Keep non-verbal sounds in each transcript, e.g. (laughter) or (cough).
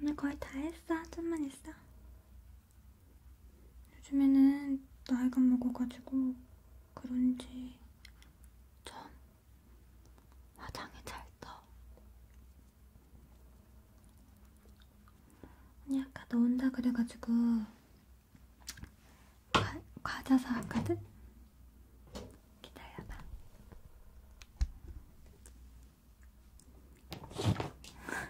오늘 거의 다 했어. 좀만 있어. 요즘에는 나이가 먹어가지고 그런지 좀 화장이 잘 떠. 언니 아까 너 온다 그래가지고 가, 과자 사왔거든? 기다려봐.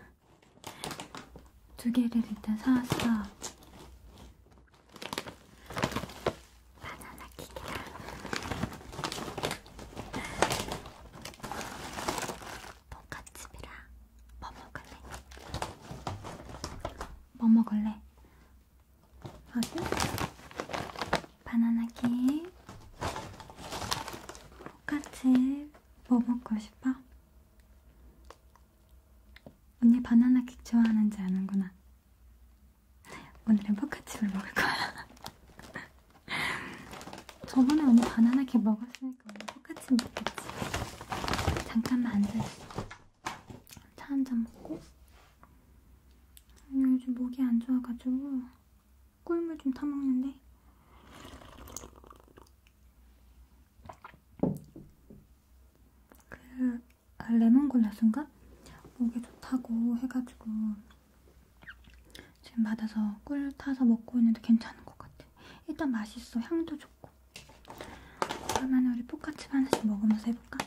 (laughs) 두 개를 일단 사왔어. 바나나 킥이랑 돈까츠비랑 뭐 먹을래? 뭐 먹을래? 확인. 바나나 케이크. 똑같이 뭐 먹고 싶어? 언니 바나나 케이크 좋아하는지 아는구나. 오늘은 포카칩을 먹을 거야. (laughs) 저번에 언니 바나나 케이크 먹었으니까 오늘 포카칩 먹겠지. 잠깐만 앉아있어. 차 한잔 먹고 아니 요즘 목이 안 좋아가지고 꿀물 좀 타먹는데 그 아, 레몬 골라순가 목에 좋다고 해가지고 지금 받아서 꿀 타서 먹고 있는데 괜찮은 것 같아 일단 맛있어 향도 좋고 그러면 우리 포카칩 하나씩 먹으면서 해볼까?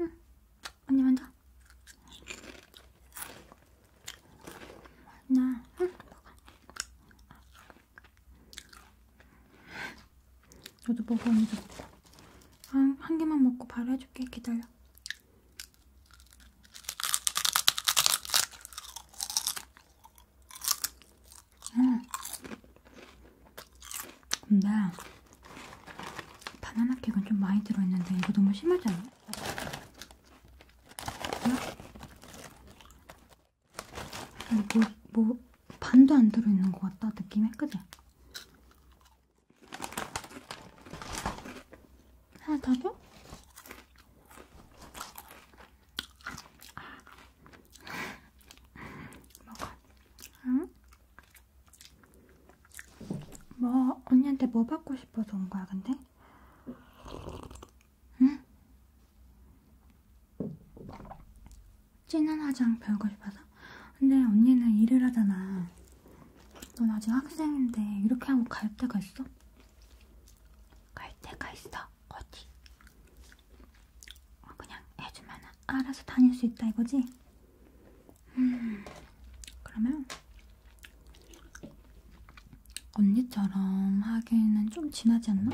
응. 언니 먼저. 나, 응, 먹어. 너도 먹어 언니도 먹어 한, 한 개만 먹고 바로 해줄게 기다려 응 음. 근데 바나나 케이크는 좀 많이 들어있는데 이거 너무 심하지 않아? 음? 뭐, 뭐 반도 안 들어있는 것 같다 느낌이 그지? 하나 더 줘? 먹어. 응? 뭐 언니한테 뭐 받고 싶어서 온 거야 근데? 응? 진한 화장 배우고 싶어서? 근데 언니는 일을 하잖아. 넌 아직 학생인데 이렇게 하고 갈 데가 있어? 갈 데가 있어. 어디? 그냥 해주면 알아서 다닐 수 있다 이거지? 음, 그러면 언니처럼 하기에는 좀 지나지 않나?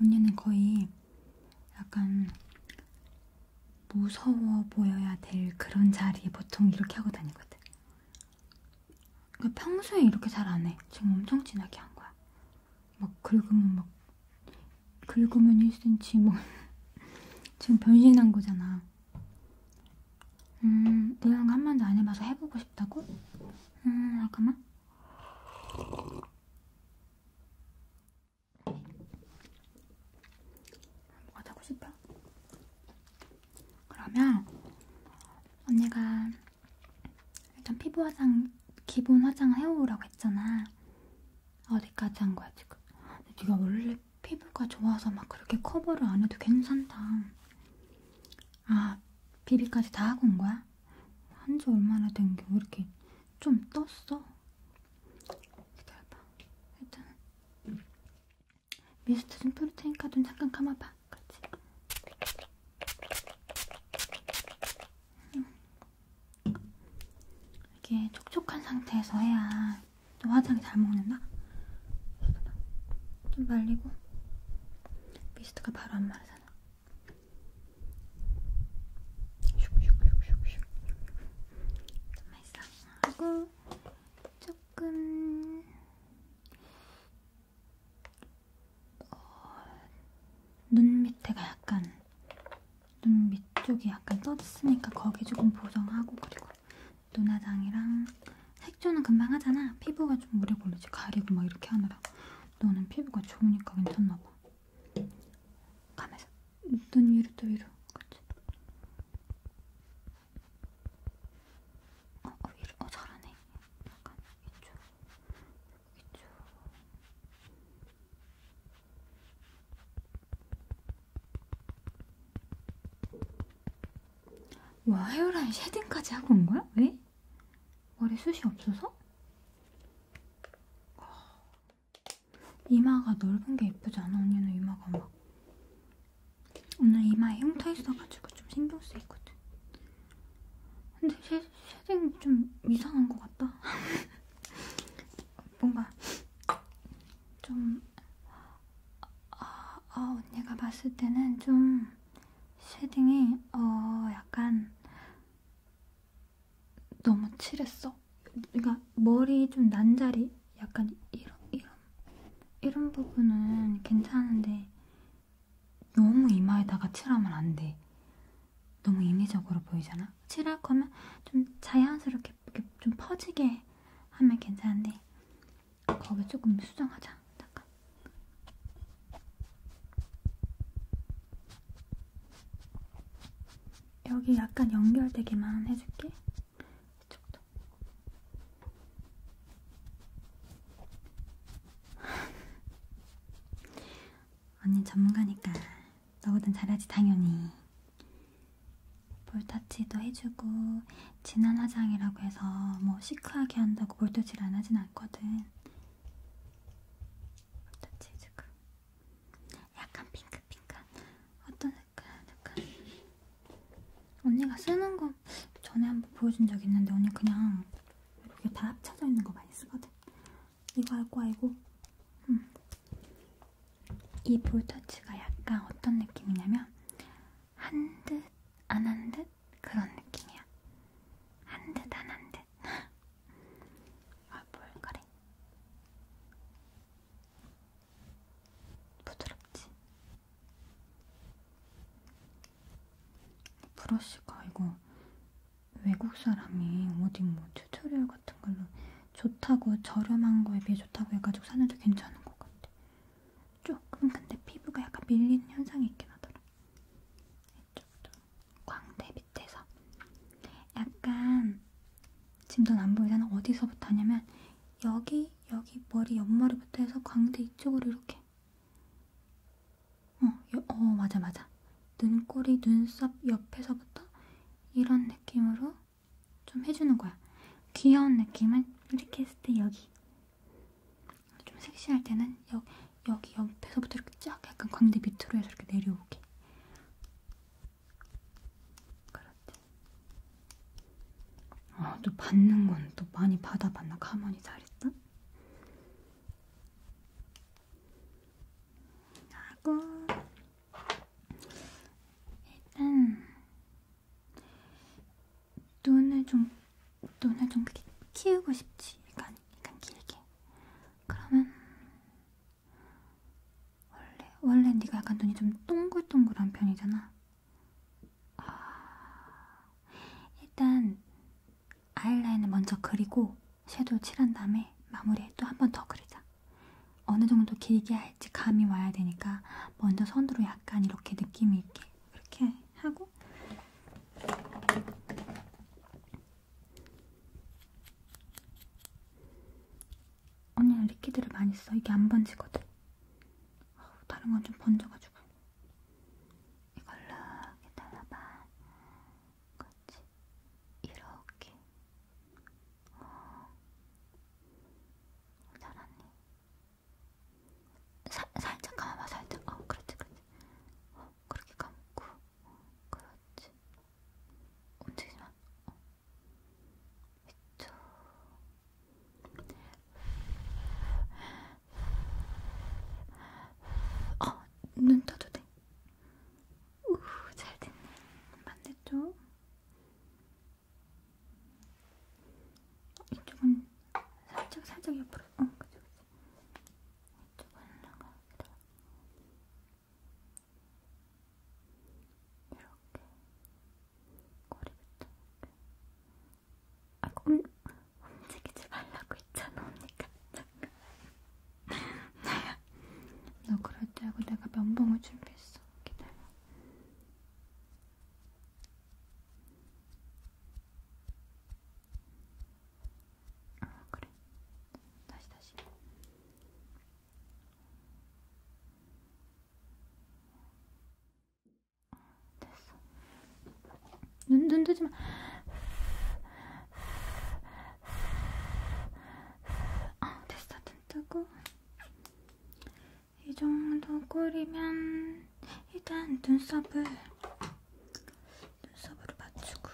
언니는 거의 약간 무서워 보여야 될 그런 자리에 보통 이렇게 하고 다니거든. 그러니까 평소에 이렇게 잘 안 해. 지금 엄청 진하게 한 거야. 막 긁으면 막 긁으면 1cm 뭐 (laughs) 지금 변신한 거잖아. 음, 이런 거한 번도 안 해봐서 해보고 싶다고? 음, 잠깐만. 뭐가 타고 싶어? 그러면 언니가 일단 피부 화장 기본 화장 해오라고 했잖아. 어디까지 한 거야 지금? 네가 원래 피부가 좋아서 막 그렇게 커버를 안 해도 괜찮다. 아 비비까지 다 하고 온 거야? 한지 얼마나 된게왜 이렇게 좀 떴어. 기다려봐. 일단은 미스트 좀 뿌릴 테니까 눈 잠깐 감아봐. 그렇지? 음. 이게 촉촉한 상태에서 해야 또 화장이 잘 먹는다? 좀 말리고 미스트가 바로 안 마르잖아. 하고 조금 어, 눈 밑에가 약간 눈 밑쪽이 약간 떠졌으니까 거기 조금 보정하고 그리고 눈화장이랑 색조는 금방 하잖아 피부가 좀 오래 걸리지 가리고 막 이렇게 하느라 너는 피부가 좋으니까 괜찮나봐 가면서 눈 위로 또 위로 그치? 어, 어 위로 어 잘하네 약간 이쪽 이쪽 와 헤어라인 쉐딩까지 하고 온 거야? 왜? 머리 숱이 없어서? 이마가 넓은 게 예쁘지 않아? 언니는 이마가 막 오늘 이마에 흉터 있어가지고 좀 신경 쓰이거든. 근데 쉐, 쉐딩 좀 이상한 것 같다. (laughs) 뭔가 좀 아, 아, 언니가 봤을 때는 좀 쉐딩이 어 약간 너무 칠했어. 그러니까 머리 좀 난 자리, 약간 이런 이런 이런 부분은 괜찮은데 너무 이마에다가 칠하면 안 돼. 너무 인위적으로 보이잖아. 칠할 거면 좀 자연스럽게 좀 퍼지게 하면 괜찮은데 거기 조금 수정하자. 잠깐. 여기 약간 연결되기만 해줄게. 이쪽도. (laughs) 언니 전문가니까 너보단 잘하지 당연히. 볼터치도 해주고 진한 화장이라고 해서 뭐 시크하게 한다고 볼터치를 안 하진 않거든. 어떤 치즈가 약간 핑크핑크한 어떤 색깔 약간 언니가 쓰는 거 전에 한번 보여준 적 있는데 언니 그냥 이렇게 다 합쳐져 있는 거 많이 쓰거든 이거 할 거야 이거 음. 이 볼터치가 약간 어떤 느낌이냐면 한 듯 안 한 듯 그런 느낌이야 한듯안한듯 듯. 아, 뭘 그래? 부드럽지? 브러쉬가 이거 외국 사람이 어디 뭐 튜토리얼 같은 걸로 좋다고 저렴한 거에 비해 좋다고 해가지고 사는데 괜찮은 것 같아. 조금 근데 피부가 약간 밀리는 현상이 있긴 하더라. 이쪽도 광대 밑에서 약간 지금 넌안 보이잖아. 어디서부터 하냐면 여기 여기 머리 옆머리부터 해서 광대 이쪽으로 이렇게 어, 여, 어 맞아 맞아 눈꼬리 눈썹 옆에서부터 이런 느낌으로 좀 해주는 거야. 귀여운 느낌은 이렇게 했을 때 여기 좀 섹시할 때는 여기 여기 옆에서부터 이렇게 쫙 약간 광대 밑으로 해서 이렇게 내려오게. 그렇지. 아, 또 받는 건 또 많이 받아봤나? 가만히 잘했다? 하고, 일단, 눈을 좀, 눈을 좀 그렇게 키우고 싶지. 약간, 약간 길게. 그러면 원래 원래 네가 약간 눈이 좀 동글동글한 편이잖아. 아, 일단 아이라인을 먼저 그리고 섀도우 칠한 다음에 마무리에 또 한 번 더 그리자. 어느 정도 길게 할지 감이 와야 되니까 먼저 선으로 약간 이렇게 느낌이 있게 이렇게 하고 언니는 리퀴드를 많이 써. 이게 안 번지거든. 다른 건 좀 번져가지고. 이걸로 이렇게 달라봐. 그렇지. 이렇게. 어. 잘하니. 사, 살짝 감아봐, 살짝. 어, 그렇지, 그렇지. 어, 그렇게 감고. 그렇지. 움직이지 마. 어. 이쪽. 어, 눈 떠도 돼. 우, 잘 됐네. 반대쪽. 이쪽은 살짝 살짝 옆으로. 어, 그죠, 그죠. 이쪽은 올라가. 이렇게 꼬리 붙여 아, 꼼, 움직이지 말라고 했잖아 언니가 나야 너 그럴 줄 알고 내가 면봉을 준비했어 기다려 아 그래 다시 다시 됐어 눈, 눈 뜨지마 아 됐어 눈 뜨고 이 정도 꼴이면 일단 눈썹을 눈썹으로 맞추고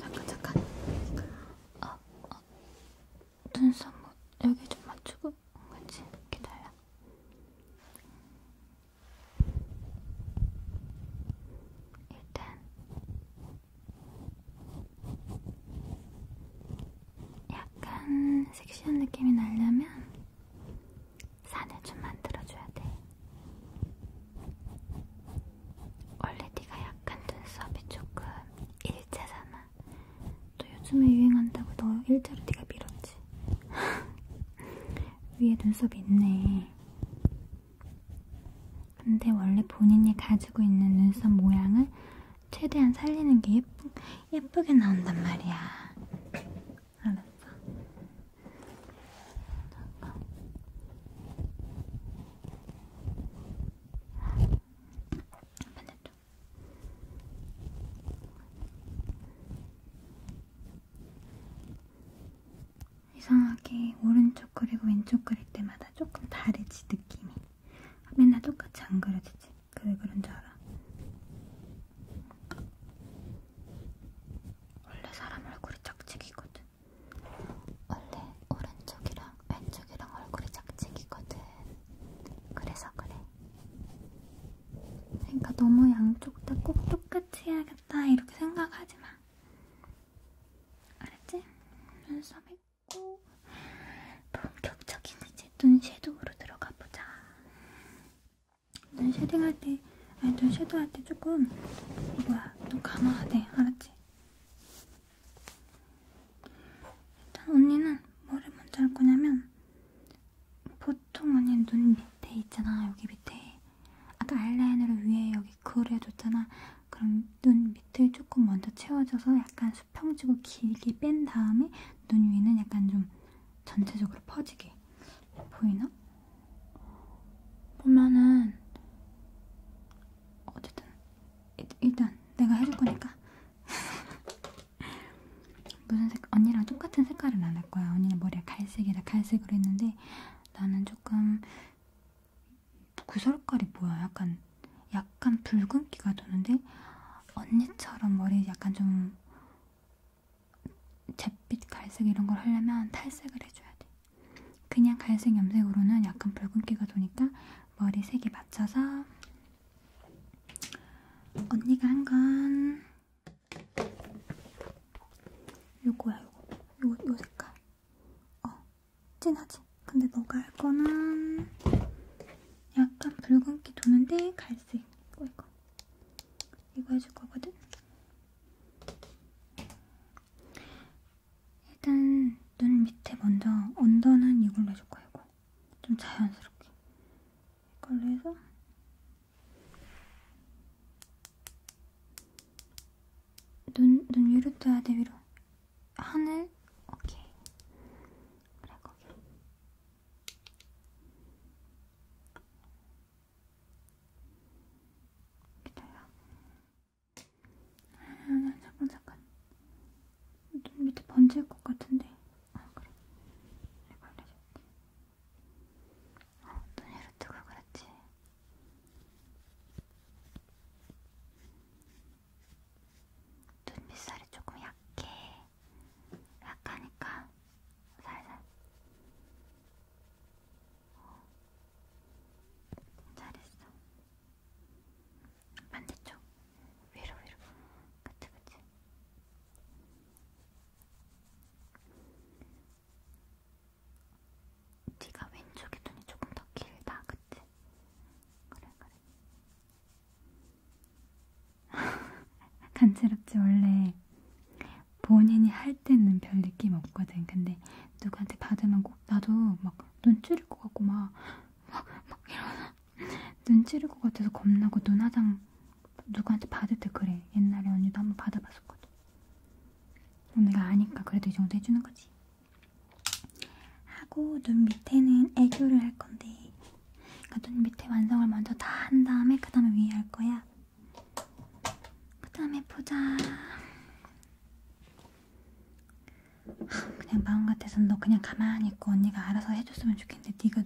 잠깐 잠깐 아, 아. 눈썹 뭐 여기 좀 맞추고 같이 기다려 일단 약간 섹시한 느낌이 나려면 산을 좀 만들어줘야 돼. 원래 네가 약간 눈썹이 조금 일자잖아. 또 요즘에 유행한다고 너 일자로 네가 밀었지. (laughs) 위에 눈썹이 있네. 근데 원래 본인이 가지고 있는 눈썹 모양을 최대한 살리는 게 예쁘, 예쁘게 나온단 말이야. 알았어. 잠깐. 반대쪽. 이상하게 오른쪽 그리고 왼쪽 그릴 때마다 조금 다르지 느낌이 맨날 똑같이 안 그려지지? 그 그런 줄 알아 원래 사람 얼굴이 짝짝이거든. 원래 오른쪽이랑 왼쪽이랑 얼굴이 짝짝이거든. 그래서 그래. 그러니까 너무 양쪽 다 꼭 똑같이 해야겠다 이렇게 생각하지 마. 알았지? 눈썹 했고 본격적인 이제 눈 섀도우로 들어가 보자. 눈 쉐딩할 때, 아니 눈 섀도할 때 조금 뭐야 눈 감아야 돼, 알았지? 일단 언니는 뭐를 먼저 할 거냐면 보통 언니는 눈 밑에 있잖아, 여기 밑에 아까 아이라인으로 위에 여기 그려줬잖아. 그럼 눈 밑을 조금 먼저 채워줘서 약간 수평지고 길게 뺀 다음에 눈 위는 약간 좀 전체적으로 퍼지게 보이나? 보면은 어쨌든 일단 내가 해줄 거니까 (laughs) 무슨 색 언니랑 똑같은 색깔은 안 할 거야. 언니는 머리가 갈색이라 갈색으로 했는데 나는 조금 구설거리 뭐야? 약간 약간 붉은기가 도는데 언니처럼 머리 약간 좀 잿빛 갈색 이런 걸 하려면 탈색을 해줘야 돼. 그냥 갈색 염색으로는 약간 붉은기가 도니까 머리 색이 맞춰서 언니가 한 건 요거야 요거 요, 요 색깔 어 진하지? 근데 너가 할 거는 약간 붉은기 도는데 갈색 이거 이거 이거 해줄 거거든? 일단 눈 밑에 먼저 언더는 이걸로 해줄 거야, 이거. 좀 자연스럽게. 이걸로 해서 눈, 눈 위로 떠야 돼, 위로. 하늘, 오케이. 그래, 거기. 기다려. 아니, 아니, 잠깐, 잠깐. 눈 밑에 번질 것 같은데. 아, 그래. 내가 발라줄게. 어, 눈으로 뜨고 그랬지. 눈 밑살이 조금 약해. 약하니까 살살. 잘했어. 반대쪽 위로 위로. 그치 그치. 네가 왼쪽에 눈이 조금 더 길다, 그치? 그래 그래. (laughs) 간지럽지 원래 본인이 할 때는 별 느낌 없거든. 근데 누구한테 받으면 꼭 나도 막 눈 찌를 것 같고 막막 막, 막 이러나 눈 찌를 것 같아서 겁나고 눈화장 누구한테 받을 때 그래. 옛날에 언니도 한번 받아봤었거든. 언니가 아니까 그래도 이 정도 해주는 거지. 하고 눈 밑에는 애교를 할 건데 그러니까 눈 밑에 완성을 먼저 다 한 다음에 그 다음에 위에 할 거야. 그 다음에 보자. 그냥 마음 같아서는 너 그냥 가만히 있고 언니가 알아서 해줬으면 좋겠는데 네가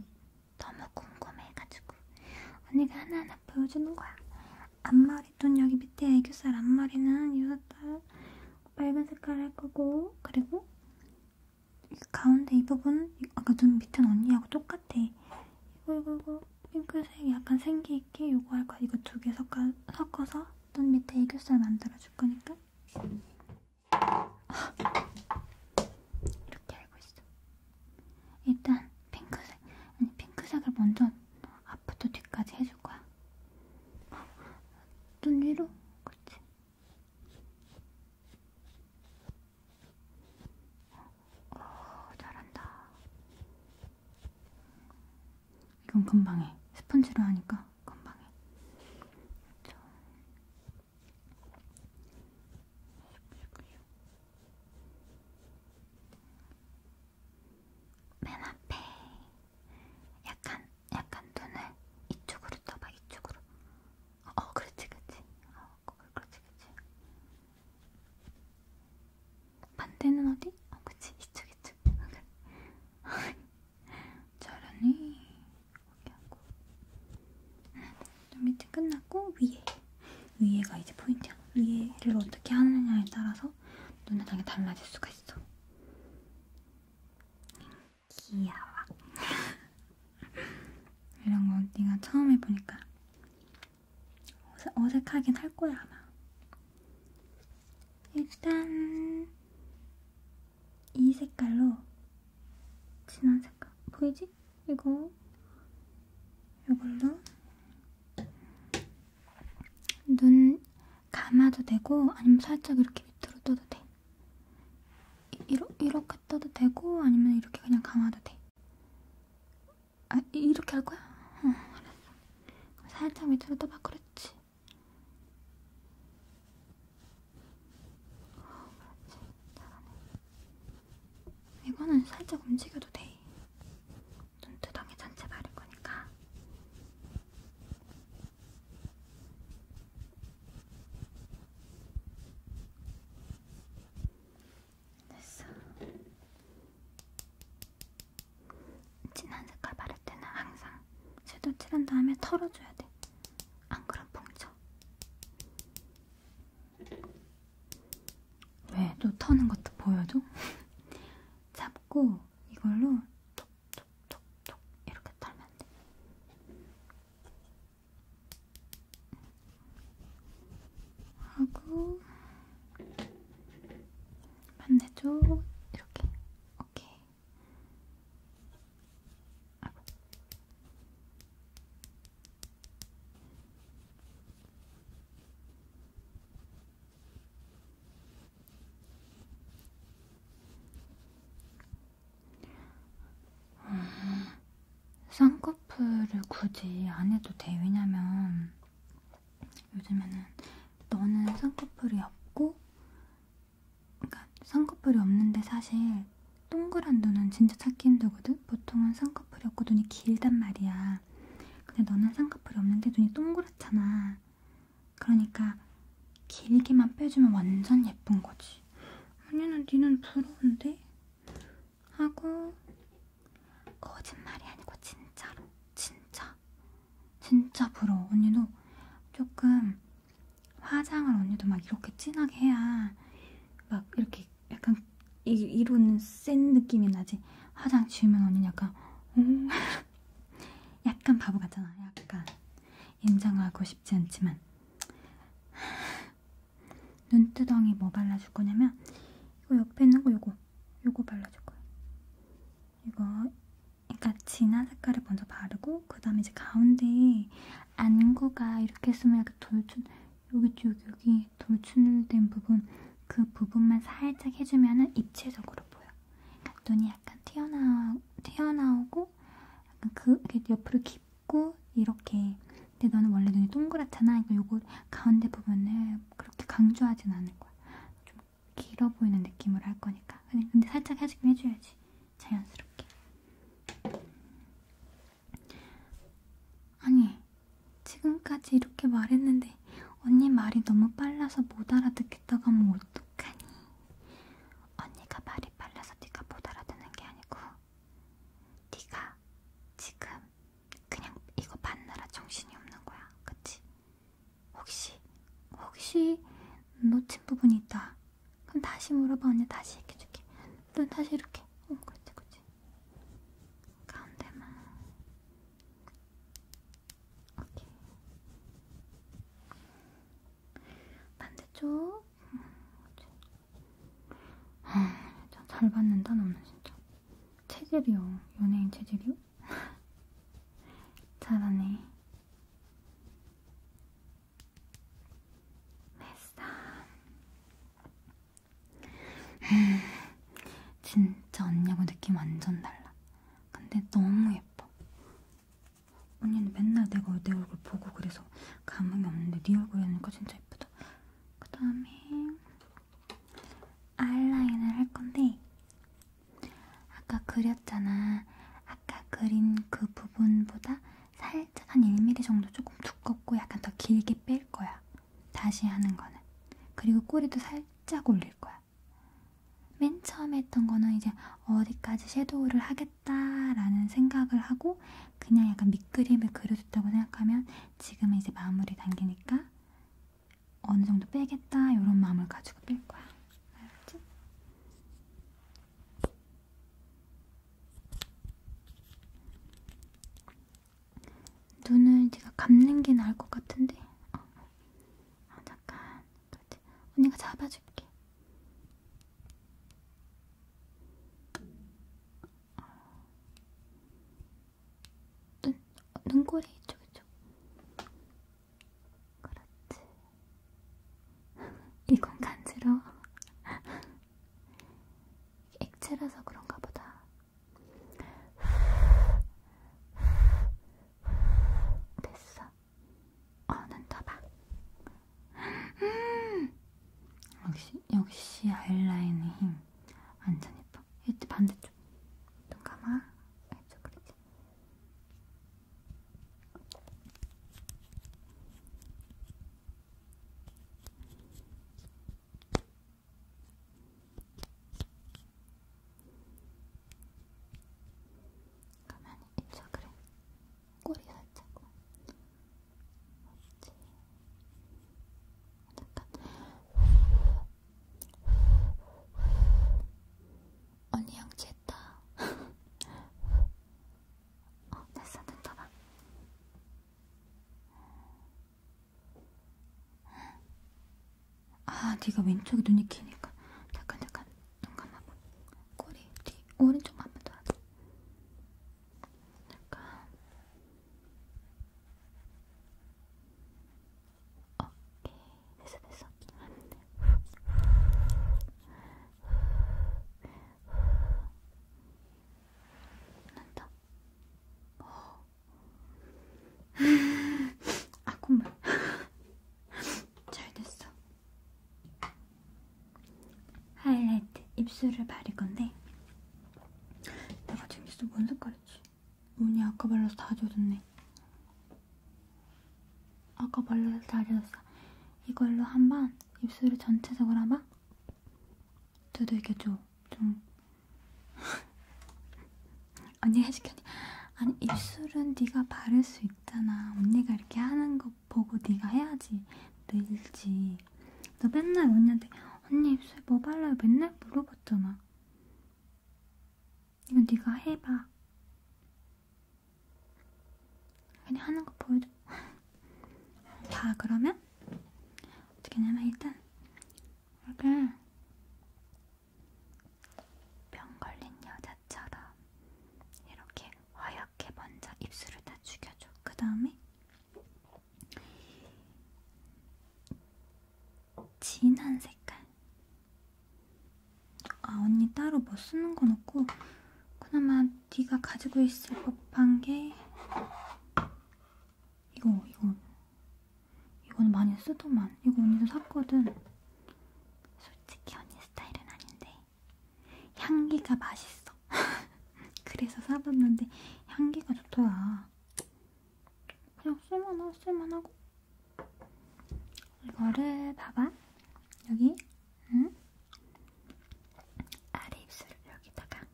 너무 궁금해가지고 언니가 하나하나 보여주는 거야. 앞머리 돈 여기 밑에 애교살 앞머리는 유사딸 빨간 색깔 할 거고 그리고 가운데 이 부분 아까 눈 밑은 언니하고 똑같아. 이거 이거 이거 그리고 핑크색 약간 생기있게 요거 할 거야. 이거 두 개 섞어, 섞어서 눈 밑에 애교살 만들어줄 거니까. 이렇게 알고 있어. 일단 핑크색. 아니, 핑크색을 먼저 앞부터 뒤까지 해줄 거야. 눈 위로? 그렇지. 어, 잘한다. 이건 금방 해. 스펀지로 하니까 금방 해. 그렇죠. 맨 앞에 약간 약간 눈을 이쪽으로 떠봐 이쪽으로 어 그렇지 그렇지 어 그렇지 그렇지 반대는 어디? 어, 그치 이쪽 이쪽. 잘하니. (laughs) 이렇게 하고. 밑에 끝났고 위에. 위에가 이제 포인트야. 위에를 어떻게 하느냐에 따라서 눈화장이 달라질 수가 있어. 귀여워. (laughs) 이런 거 언니가 처음 해보니까 어색, 어색하긴 할 거야, 아마. 일단, 이 색깔로, 진한 색깔, 보이지? 이거, 이걸로, 눈 감아도 되고, 아니면 살짝 이렇게 밑으로 떠도 돼. 이러, 이렇게 떠도 되고, 아니면 이렇게 그냥 감아도 돼. 아, 이렇게 할 거야? 응, 알았어. 그럼 살짝 밑으로 떠봐, 그렇지. 어, 그렇지. 잘하네. 이거는 살짝 움직여도 돼. 눈두덩이 전체 바를 거니까. 됐어. 진한 색깔 바를 때는 항상 섀도우 칠한 다음에 털어줘야 돼. 안 그럼 뭉쳐. 왜? 또 터는 것도 보여줘? (laughs) 잡고 이걸로 톡톡톡톡 이렇게 털면 돼. 하고 만내줘 이렇게 오케이 하고. 음, 쌍꺼풀을 굳이 안 해도 돼. 왜냐면 요즘에는 너는 쌍꺼풀이 없고, 그러니까 쌍꺼풀이 없는데 사실 동그란 눈은 진짜 찾기 힘들거든? 보통은 쌍꺼풀이 없고 눈이 길단 말이야. 근데 너는 쌍꺼풀이 없는데 눈이 동그랗잖아. 그러니까 길게만 빼주면 완전 예쁜 거지. 아니, 나 니는 부러운데? 하고 거짓말이 아니고 진짜로 진짜 진짜 부러워 언니도 조금 화장을 언니도 막 이렇게 진하게 해야 막 이렇게 약간 이, 이런 센 느낌이 나지 화장 지우면 언니는 약간 오 음, (laughs) 약간 바보 같잖아 약간 인정하고 싶지 않지만 눈두덩이 뭐 발라줄 거냐면 이거 옆에 있는 거 요거 요거 발라줄 거예요. 이거 그러니까 진한 색깔을 먼저 바르고 그 다음에 이제 가운데에 안구가 이렇게 있으면 이렇게 돌출 여기 쪽 여기 돌출된 부분 그 부분만 살짝 해주면은 입체적으로 보여. 그러니까 눈이 약간 튀어나오, 튀어나오고 약간 그 옆으로 깊고 이렇게 근데 너는 원래 눈이 동그랗잖아 이거 그러니까 요거 가운데 부분을 그렇게 강조하진 않을 거야 좀 길어 보이는 느낌으로 할 거니까 근데 살짝 해주긴 해줘야지 자연스럽게 아니 지금까지 이렇게 말했는데 언니 말이 너무 빨라서 못 알아듣겠다고 하면 어떡하니 언니가 말이 빨라서 네가 못 알아듣는 게 아니고 네가 지금 그냥 이거 받느라 정신이 없는 거야, 그치? 혹시 혹시 놓친 부분이 있다. 그럼 다시 물어봐 언니 다시 이렇게 줄게. 너 다시 이렇게. 어, 그렇지, 그렇지. 가운데만. 오케이. 반대쪽. 음, 그렇지. 잘 받는다 너는 진짜 체질이요 연예인 체질이요? (laughs) 잘하네 됐어 (laughs) 진짜 언니하고 느낌 완전 달라 근데 너무 예뻐 언니는 맨날 내가 내 얼굴 보고 그래서 감흥이 없는데 네 얼굴이니까 진짜 예쁘다 그 다음에 아이라인을 할 건데 아까 그렸잖아. 아까 그린 그 부분보다 살짝 한 1mm 정도 조금 두껍고 약간 더 길게 뺄 거야. 다시 하는 거는. 그리고 꼬리도 살짝 올릴 거야. 맨 처음에 했던 거는 이제 어디까지 섀도우를 하겠 끝났다라는 생각을 하고 그냥 약간 밑그림을 그려줬다고 생각하면 지금은 이제 마무리 단계니까 어느 정도 빼겠다 이런 마음을 가지고 뺄 거야. 알았지? 눈을 제가 감는 게 나을 것 같은데. 어. 어. 아 잠깐. 그렇지. 언니가 잡아줄게. 눈, 눈꼬리 이쪽 이쪽. 그렇지. (laughs) 이건 간지러워. (laughs) 액체라서 그런가 보다. (laughs) 됐어. 어, 눈 떠봐. 아, 역시 역시 아이라인의 힘 완전 예뻐. 이때 반대쪽 눈 감아. 알죠, 그렇지? 가만히 있어 그래 꼬리 살짝 언니 양치했다. (laughs) 어, 됐어, 됐다, 봐. 아, 네가 왼쪽에 눈이 키니까 잠깐 잠깐 눈 감아봐. 꼬리 뒤 오른쪽만 봐도 안 돼. 약간 오케이 됐어 됐어 난다 아 콧물 잘 됐어 하이라이트 입술을 바를 건데 내가 지금 입술 뭔 색깔이지? 문이 아까 발라서 다 젖었네 아까 발라서 다 젖었어 이걸로 한번 입술을 전체적으로 한번 두들겨줘 좀 (laughs) 언니가 해줄게 언니. 아니 입술은 네가 바를 수 있잖아 언니가 이렇게 하는 거 이거 보고 네가 해야지 늘지 너 맨날 언니한테 언니 입술 뭐 발라요? 맨날 물어봤잖아 이거 네가 해봐 그냥 하는 거 보여줘 (laughs) 자 그러면 어떻게 하냐면 일단 여기 병 걸린 여자처럼 이렇게 허연 하얗게 먼저 입술을 다 죽여줘. 그 다음에 진한 색깔. 아 언니 따로 뭐 쓰는 건 없고 그나마 네가 가지고 있을 법한 게 이거 이거 이거는 많이 쓰더만 이거 언니도 샀거든. 솔직히 언니 스타일은 아닌데 향기가 맛있어. (laughs) 그래서 사봤는데 향기가 좋더라. 그냥 쓸만하, 쓸만하고. 이거를 봐봐. 여기, 응? 아래 입술을 여기다가.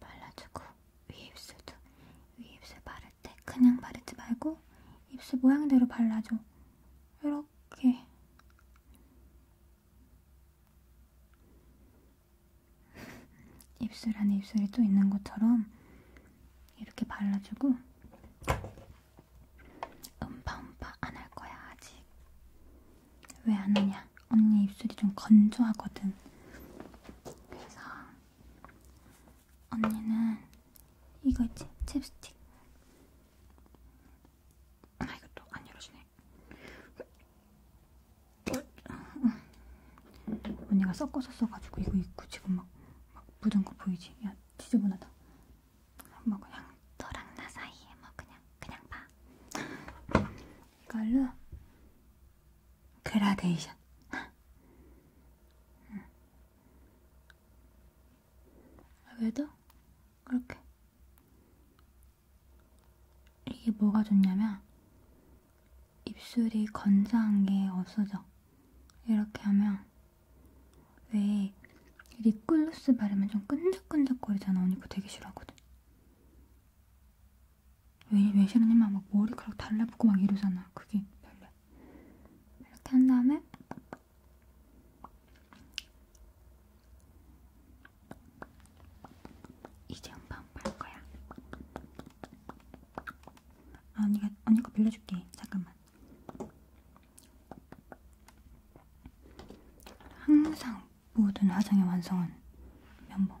발라주고 위에 입술도 위에 입술 바를 때 그냥 바르지 말고 입술 모양대로 발라줘. 이렇게. 입술 안에 입술이 또 있는 것처럼 이렇게 발라주고 음파 음파 안 할 거야 아직 왜 안 하냐 언니 입술이 좀 건조하거든 그래서 언니는 이거 있지? 챕스틱. 아, 이것도 안 열어주네. 언니가 섞어서 써가지고 이거 입고 지금 막, 막 묻은 거 보이지? 야, 지저분하다. 뭐 그냥 너랑 나 사이에 뭐 그냥, 그냥 봐. 이걸로 그라데이션. 외도 그렇게 이게 뭐가 좋냐면 입술이 건조한 게 없어져 이렇게 하면 왜 립글로스 바르면 좀 끈적끈적거리잖아 언니 그거 되게 싫어하거든 왜, 왜 싫으냐면 막 머리카락 달라붙고 막 이러잖아 그게 별로야 이렇게 한 다음에 이제 음반 볼 거야. 아, 언니가 언니가 빌려줄게. 잠깐만. 항상 모든 화장의 완성은 면봉.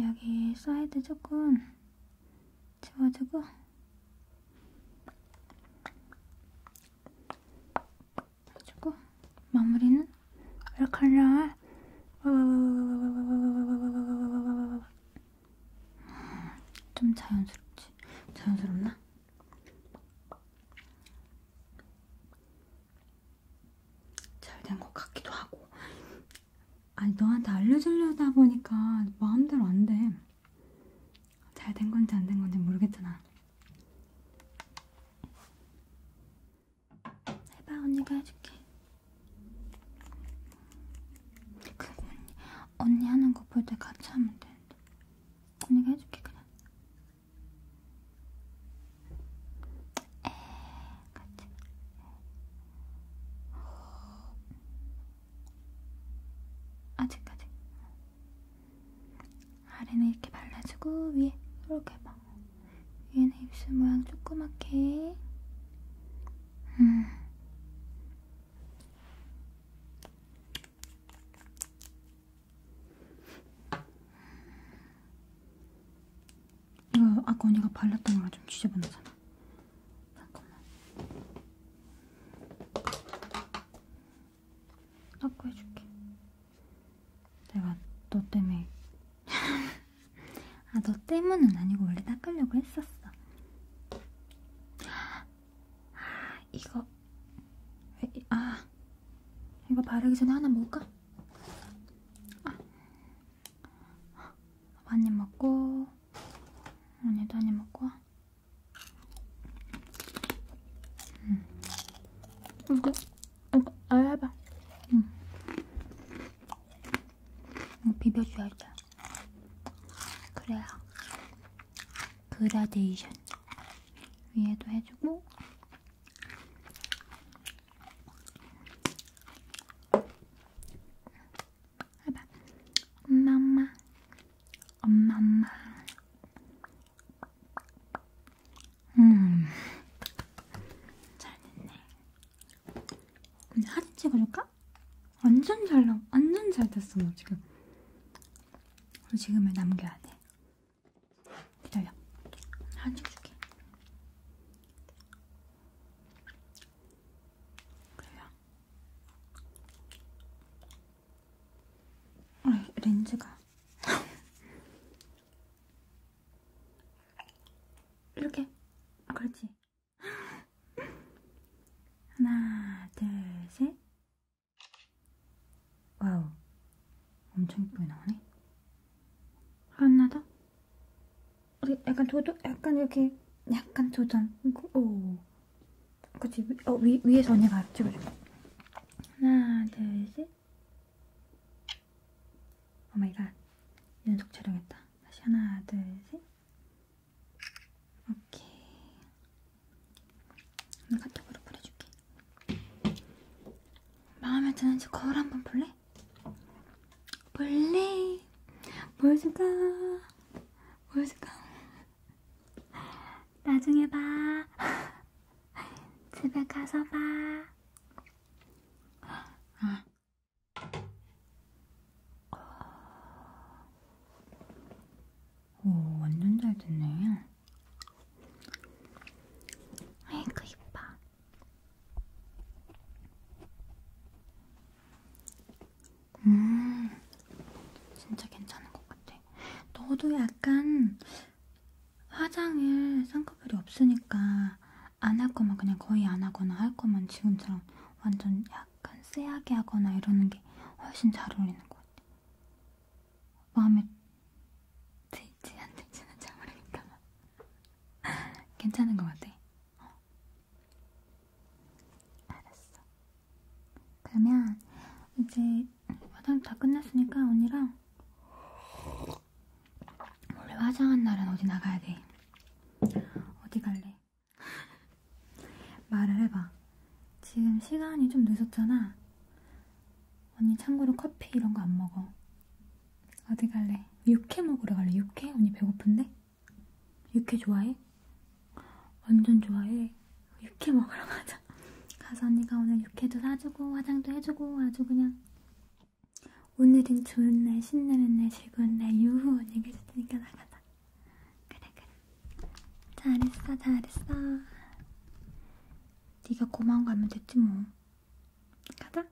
여기 사이드 조금 채워주고 해주고 마무리는 얼칼라 좀 자연스럽지? 자연스럽나? 잘 된 것 같기도 하고 아니 너한테 알려주려다 보니까 마음대로 안 돼. 잘 된 건지 안 된 건지 모르겠잖아. 해봐 언니가 해줄게. 그리고 언니, 언니 하는 거 볼 때 같이 하면 되는데. 언니가 해줄게 그냥. 에 같이. 아직까지 아래는 이렇게 발라주고 위에 이렇게 해봐 위에는 입술 모양 조그맣게 음. 이거 아까 언니가 발랐던 거랑 좀 지저분하잖아 잠깐만. 닦고 해줄게. 내가 너 때문에. (laughs) 아, 너 때문은 아니고 원래 닦으려고 했었어. 아, 이거. 왜, 아. 이거 바르기 전에 하나 먹을까? 아. 많이 먹고. 언니도 한입 먹고 와. 음. 이거, 음, 이거, 그, 음, 아, 해봐. 음. 이거 음, 비벼줘야지. 그래야. 그라데이션. 위에도 해주고. 해봐. 엄마 엄마 엄마 엄마 음 잘됐네 이제 하트 찍어줄까? 완전 잘 나, 완전 잘 됐어 너 지금 우리 지금을 남겨야 돼 기다려 하트 찍어줄게 그래요 렌즈가 이렇게 그렇지 하나 둘셋 와우 엄청 예쁘게 나오네 하나 더 우리 어, 약간 도전, 약간 이렇게 약간 도전. 오, 그치? 어, 위, 위에서 언니가 찍어줘. 하나, 둘, 셋. 오마이갓. 연속 촬영했다. 다시 하나, 둘, 셋. 오케이. 카톡으로 보내줄게. 마음에 드는지 거울 한번 볼래? 몰래 몰수가 몰수가 나중에 봐 (laughs) 집에 가서 봐 아. 어, 오 완전 잘 됐네 아이고 이뻐 음, 진짜 괜찮은 것 같아. 너도 약간 화장을 쌍꺼풀이 없으니까 안 할 거면 그냥 거의 안 하거나 할 거면 지금처럼 완전 약간 쎄하게 하거나 이러는 게 훨씬 잘 어울리는 것 같아. 마음에 들지 안 들지는 잘 모르겠다만. (laughs) 괜찮은 것 같아. 어. 알았어. 그러면 이제 화장 다 끝났으니까 언니랑 원래 화장한 날은 어디 나가야 돼. 어디 갈래? 말을 해봐. 지금 시간이 좀 늦었잖아. 언니 참고로 커피 이런 거 안 먹어. 어디 갈래? 육회 먹으러 갈래? 육회? 언니 배고픈데? 육회 좋아해? 완전 좋아해. 육회 먹으러 가자. 가서 언니가 오늘 육회도 사주고 화장도 해주고 아주 그냥 오늘은 좋은 날, 신나는 날, 즐거운 날, 유후 언니가 해줄 테니까 나가자. 그래 그래. 잘했어 잘했어. 네가 고마운 거 하면 됐지 뭐. 가자.